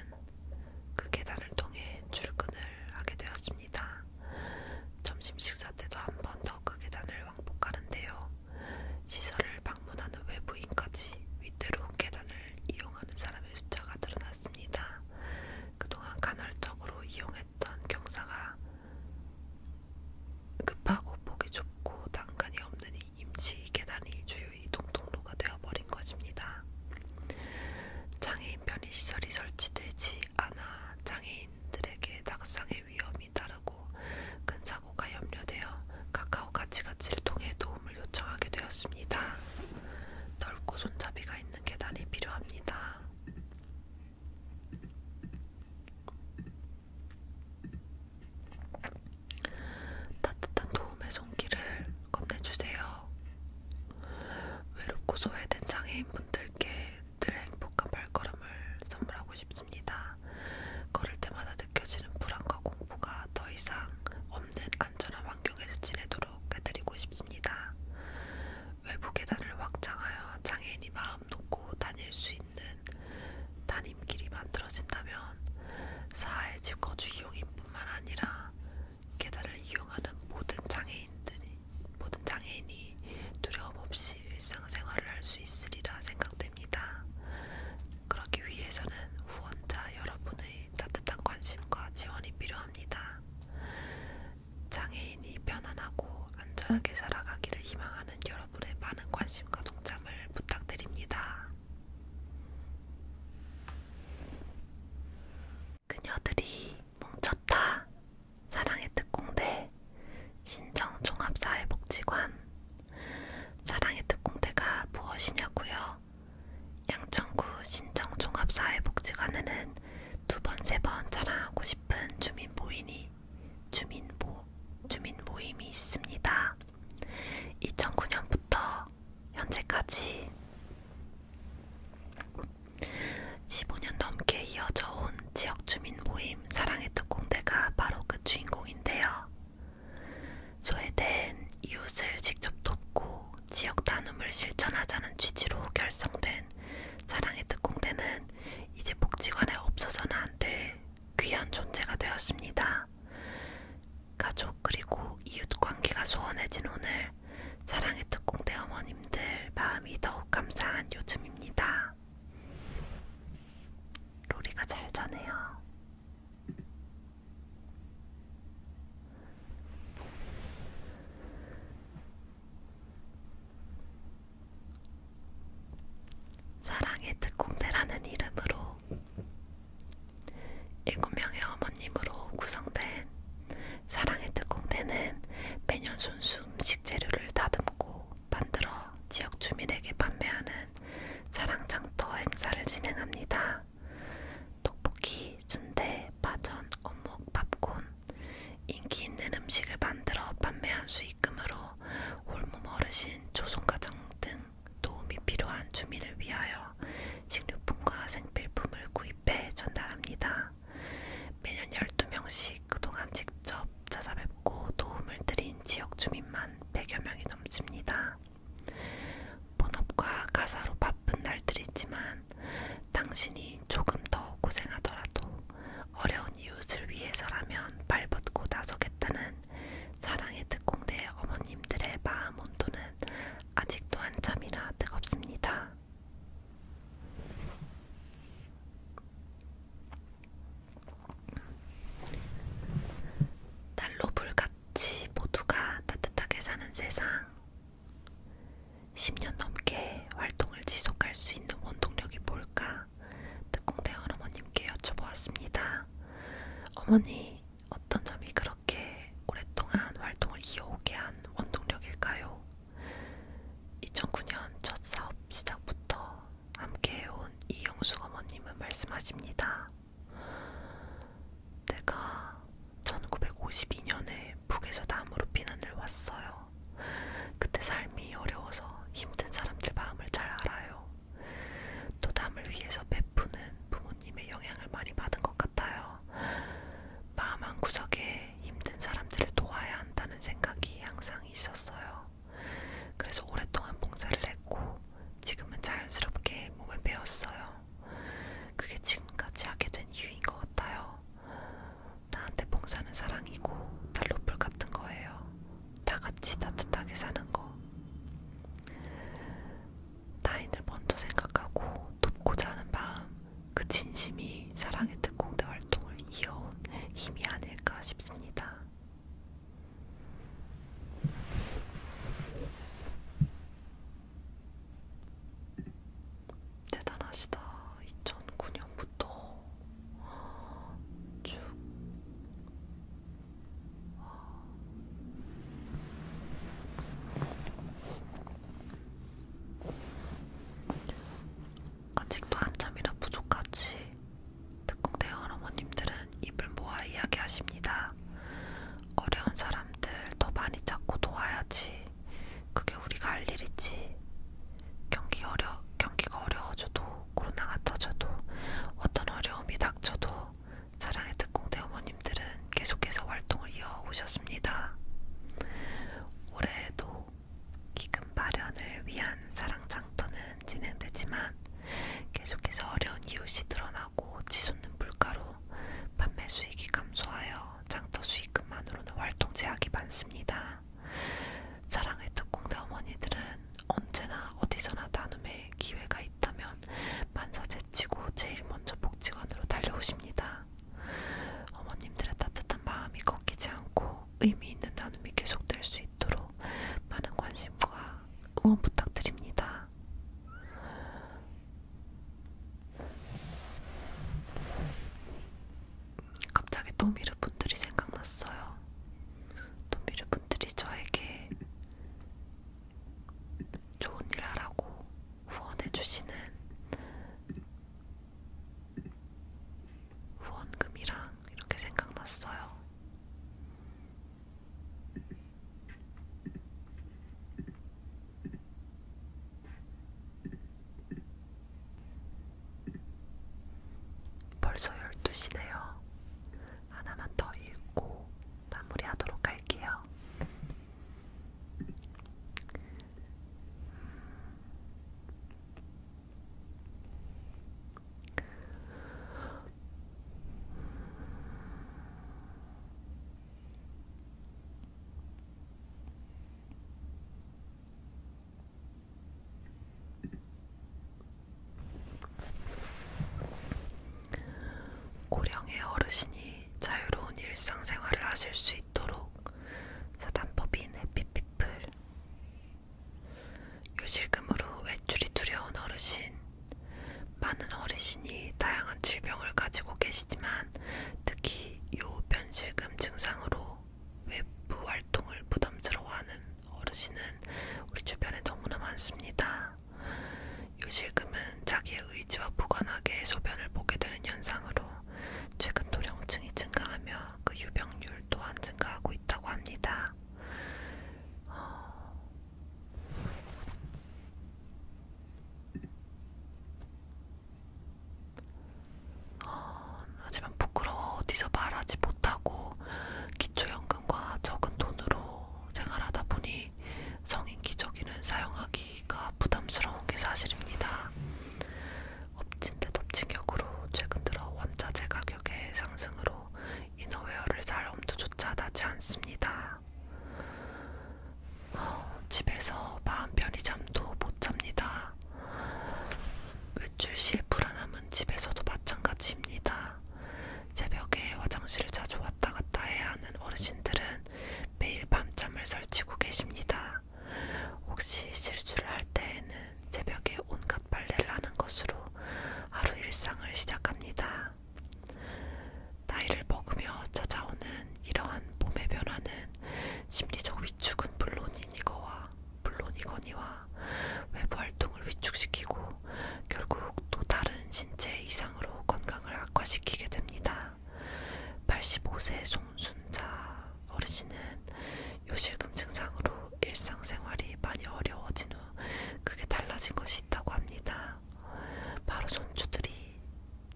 그 계단을 통해 출근을 하게 되었습니다. 점심 식사 때도 한 번 더 그 계단을 왕복하는데요. 시설을 방문하는 외부인까지 위태로운 계단을 이용하는 사람의 숫자가 늘어났습니다. 그동안 간헐적으로 이용했던 경사가 급하고 폭이 좁고 난간이 없는 계단이 임시 계단이 주요 이동 통로가 되어버린 것입니다. 장애인 편의 시설이 설치되지 않아 장애인들에게 낙상의 위험이 따르고 큰 사고가 염려되어 카카오 가치가치를 통해 도움을 요청하게 되었습니다. 넓고 손잡이가 있는 계단이 필요합니다. 따뜻한 도움의 손길을 건네주세요. 외롭고 소외된 장애인분들께 늘 행복한 발걸음을 선물하고 싶습니다. 걸을 때마다 느껴지는 불안과 공포가 더 이상 없는 안전한 환경에서 지내도록 해드리고 싶습니다. 외부 계단을 확장하여 장애인이 마음 놓고 다닐 수 있는 다림길이 만들어진다면 사회 집 거주 이용인뿐만 아니라 계단을 이용하는 모든 장애인들이 모든 장애인이 두려움 없이 일상생활을 할 수 있으리라 생각됩니다. 그러기 위해서는 후원자 여러분의 따뜻한 관심과 지원이 필요합니다. 장애인이 편안하고 안전하게 살아가기를 희망하는 여러분의 많은 관심과 동참을 부탁드립니다. 그녀들이 뭉쳤다. 사랑의 특공대 신정종합사회복지관 사랑의 특공대가 무엇이냐고요? 양천구 신정종합사회복지관에는 두 번, 세 번 자랑하고 싶은 주민 모임이 주민 모 주민 모임이 있습니다. 2009년부터 현재까지 15년 넘게 이어져 온 지역 주민 모임 사랑의 특공대가 바로 그 주인공인데요. 소외된 이웃을 직접 돕고 지역 나눔을 실천하자는 취지로 결성된 사랑의 특공대는 이제 복지관에 없어서는 안 될 귀한 존재가 되었습니다. 가족 그리고 이웃관계가 소원해진 오늘 사랑의 특공대 어머님들 마음이 더욱 감사한 요즘입니다. 로리가 잘 자네요. 사랑의 특공대라는 이름으로 일곱 명의 어머님으로 구성된 사랑의 특공대는 매년 손수 음식 재료를 다듬고 만들어 지역 주민에게 판매하는 사랑장터 행사를 진행합니다. 떡볶이, 순대, 파전, 어묵, 팝콘, 인기 있는 음식을 만들어 판매한 수익금으로 홀몸 어르신, 조손가정 등등 도움이 필요한 주민을 위하여 식료품과 생필품을 구입해 전달합니다. 매년 12명씩 그동안 직접 찾아뵙고 도움을 드린 지역 주민만 100여 명이 넘습니다. 본업과 가사로 바쁜 날들이지만 당신이 조금 더 고생하더라도 어려운 이웃을 위해서라면 발벗고 나서겠다는 사랑의 특공대 어머님들의 마음 온도는 아직도 한참이나 뜨겁습니다. 날로 불같이 모두가 따뜻하게 사는 세상. 10년 넘게 활동을 지속할 수 있는 원동력이 뭘까? 특공대원 어머님께 여쭤보았습니다. 어머니, 어떤 점이 그렇 그렇게 오랫동안 활동을 이어오게 한 원동력일까요? 2009년 첫 사업 시작부터 함께해온 이영숙 어머님은 말씀하십니다. 내가 1952년에 북에서 남으로 피난을 왔어요. 그때 삶이 어려워서 힘든 사람들 마음을 잘 알아요. 또 남을 위해서 베푸는 부모 부모님의 영향을 많이 받은 것 같아요. 마음 한 구석에 힘든 사람들을 도와야 한다는 생각이 항상 있었어요. 그래서 오랫동안 봉사를 했고 지금은 자연스럽게 몸에 배웠어요. 그게 지금까지 하게 된 이유인 것 같아요. 나한테 봉사는 사랑이고 달로풀 같은 거예요. 다 같이 따뜻하게 사는 거. 타인을 먼저 생각하고 돕고자 하는 마음, 그 진심이 사랑의 특공대 활동을 이어온 힘이 아닐까 싶습니다. 대단하시다. 2009년부터 쭉 아직도 한참이나 부족하지. 특공대원 어머님들은 입을 모아 이야기하십니다. 어려운 사람들 더 많이 찾고 도와야지. 그게 우리가 할 일이지. 경기 어려, 경기가 어려워져도 코로나가 터져도 어떤 어려움이 닥쳐도 사랑의 특공대 어머님들은 계속해서 활동을 이어오셨습니다. 올해에도 기금 마련을 위한 사랑장터는 진행되지만 계속해서 어려운 이웃이 늘어나고 치솟는 물가로 판매 수익이 감소하여 장터 수익금만으로는 활동 제약이 많습니다. 사랑의 특공대 어머니들은 언제나 어디서나 나눔의 기회가 있다면 만사제 제치고 제일 먼저 복지관으로 달려오십니다. 어머님들의 따뜻한 마음이 꺾이지 않고 의미 있는 나눔이 계속될 수 있도록 많은 관심과 응원 부탁드립니다. 갑자기 또미르 분들이 생각났어요. 또미르 분들이 저에게 좋은 일 하라고 후원해주시는 후원금이랑 이렇게 생각났어요. 벌써 12시네요. 하나만 더 읽고 마무리하도록 할게요. 고령의 어르신이 여러분이 자유로운 일상생활을 하실 수 있도록 사단법인 해피피플 요실금으로 외출이 두려운 어르신 많은 어르신이 다양한 질병을 가지고 계시지만 특히 요변실금 증상으로 외부 활동을 부담스러워하는 어르신은 우리 주변에 너무나 많습니다. 요실금은 자기의 의지와 부관하게 소변을 보게 되는 현상으로 최근 도령층이 증가하며 그 유병률 또한 증가하고 있다고 합니다. 어... 어, 하지만 부끄러워 어디서 말하지 못하고 기초연금과 적은 돈으로 생활하다 보니 보니 성인 기저귀는 사용하기가 부담스러운 게 사실입니다. 엎친 데 덮친 격으로 최근 들어 원자재 가격의 상승으로 이너웨어를 살 엄두조차 나지 않습니다. 어, 집에서 마음 편히 잠도 못 잡니다. 외출 시의 불안함은 집에서도 마찬가지입니다. 새벽에 화장실을 자주 왔다 갔다 해야 하는 어르신들은 매일 밤잠을 설치고 계십니다. 혹시 실수를 할 때에는 새벽에 온갖 빨래를 하는 것으로 하루 일상을 시작합니다. 나이를 먹으며 찾아오는 이러한 몸의 변화는 심리적 위축은 물론이니거와 물론이거니와 외부 활동을 위축시키고 결국 또 다른 신체 이상으로 건강을 악화시키게 됩니다. 85세 송순자 어르신은 요실금 증상으로 일상생활이 많이 어려워진 후 크게 달라진 것이 있다고 합니다. 바로 손주들이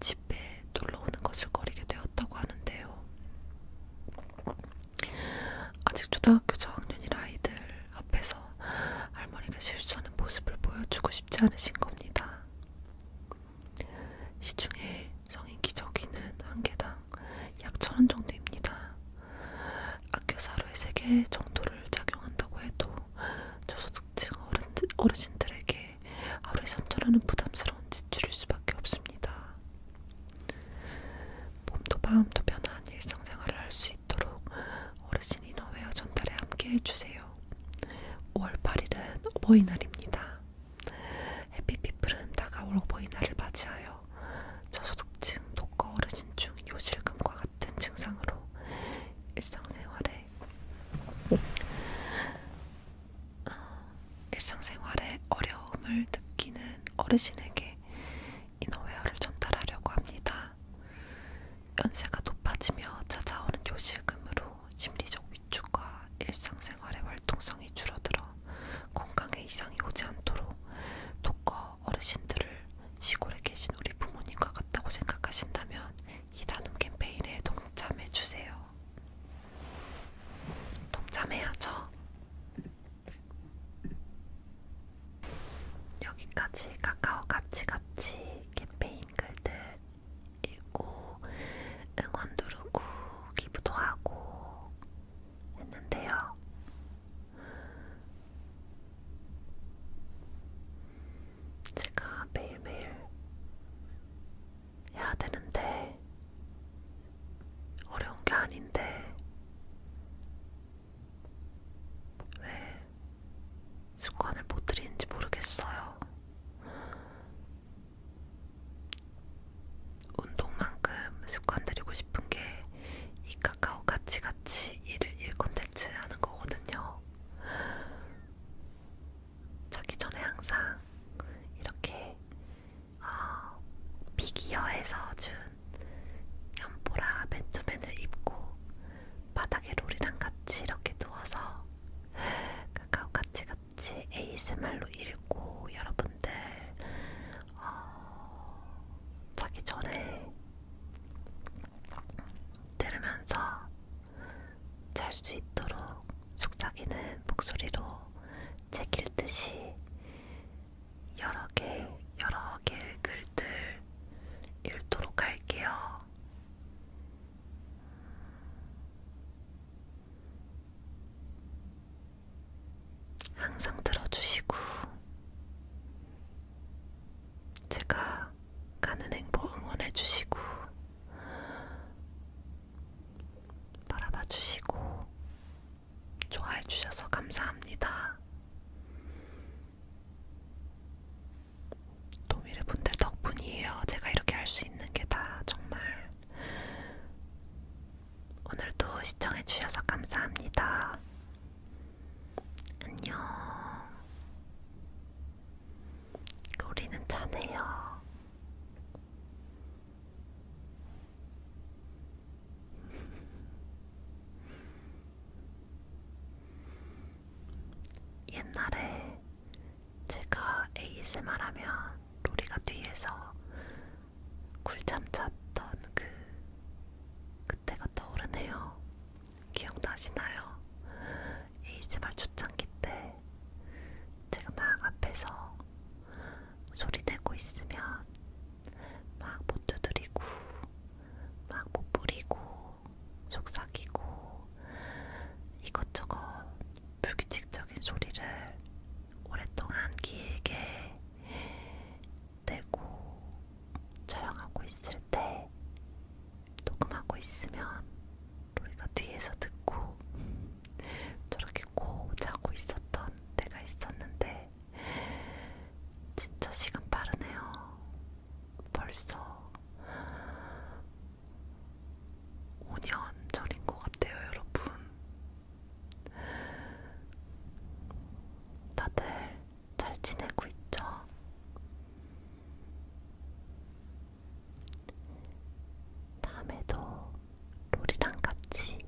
집에 놀러오는 것을 거리게 되었다고 하는데요. 아직 초등학교 저학년인 아이들 앞에서 할머니가 실수하는 모습을 보여주고 싶지 않으신 겁니다. 시중에 성인 기저귀는 한 개당 약천원 정도입니다. 악교사로의 세개 정도를 작용한다고 해도 저소득층 어르신들에게 하루에 3천 원은 부담스러운 지출일 수밖에 없습니다. 몸도 마음도 편한 일상생활을 할 수 있도록 어르신 인어웨어 전달에 함께해 주세요. 있어요. 5월 8일은 어버이날입니다. 해피피플은 다가올 어버이날을 맞이하여 저소득층 독거 어르신 중 요실금과 같은 증상으로 일상생활에 어, 일상생활에 어려움을 느끼는 어르신에게 인어웨어를 전달하려고 합니다. 연세가 높아지며 찾아오는 요실금으로 심리적 위축과 일상생활의 활동성이 줄어들어 건강에 이상이 오지 않도록 독거 어르신들을 시골에 계신 우리 부모님과 같다고 생각하신다면 이 나눔 캠페인에 동참해 주세요. 동참해야죠. 여기까지 카카오 같이 같이 캠페인 글들 읽고 응원 누르고 기부도 하고 했는데요. 제가 매일매일 해야 되는데 어려운 게 아닌데 왜 습관을 못 들이는지 모르겠어요. 운동만큼 습관 들이고 싶은 게 이 카카오 같이 같이 일을 일 컨텐츠 하는 거거든요. 자기 전에 항상 이렇게 어, 피기어에서 준 연보라 맨투맨을 입고 바닥에 롤이랑 같이 이렇게 누워서 카카오 같이 같이 ASMR로 읽고 여러분들 어, 자기 전에 들으면서 잘 수 있도록 속삭이는 목소리로 책 읽듯이 여러 개 여러 개의 글들 읽도록 할게요. 항상 들어주시고, 제가 가는 행보 응원해주시고, 바라봐주시고, 좋아해주셔서 감사합니다. 도미르 분들 덕분이에요. 제가 이렇게 할 수 있는 게 다 정말. 오늘도 시청해주셔서 감사합니다. 안녕. 로리는 자네요. 옛날에 제가 ASMR 하면 로리가 뒤에서 굴잠 잤던 그 그때가 떠오르네요. 기억나시나요? ASMR 초창기 때 제가 막 앞에서 소리 내고 있으면 막 못 두드리고 막못 뿌리고 속삭이고 이것저것 불규칙적인 소리를 오랫동안 길게 내고 촬영하고 있을 때 녹음하고 있으면 우리가 뒤에서 듣고 저렇게 고 자고 있었던 때가 있었는데 진짜 시간 빠르네요. 벌써 5년 전인 것 같아요, 여러분. 다들 잘 지내고 있죠? 다음에도 롤이랑 같이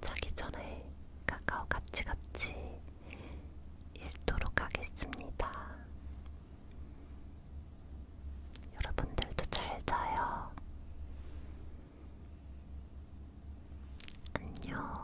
자기 전에 카카오 같이 같이 읽도록 하겠습니다. 여러분들도 잘 자요. 안녕.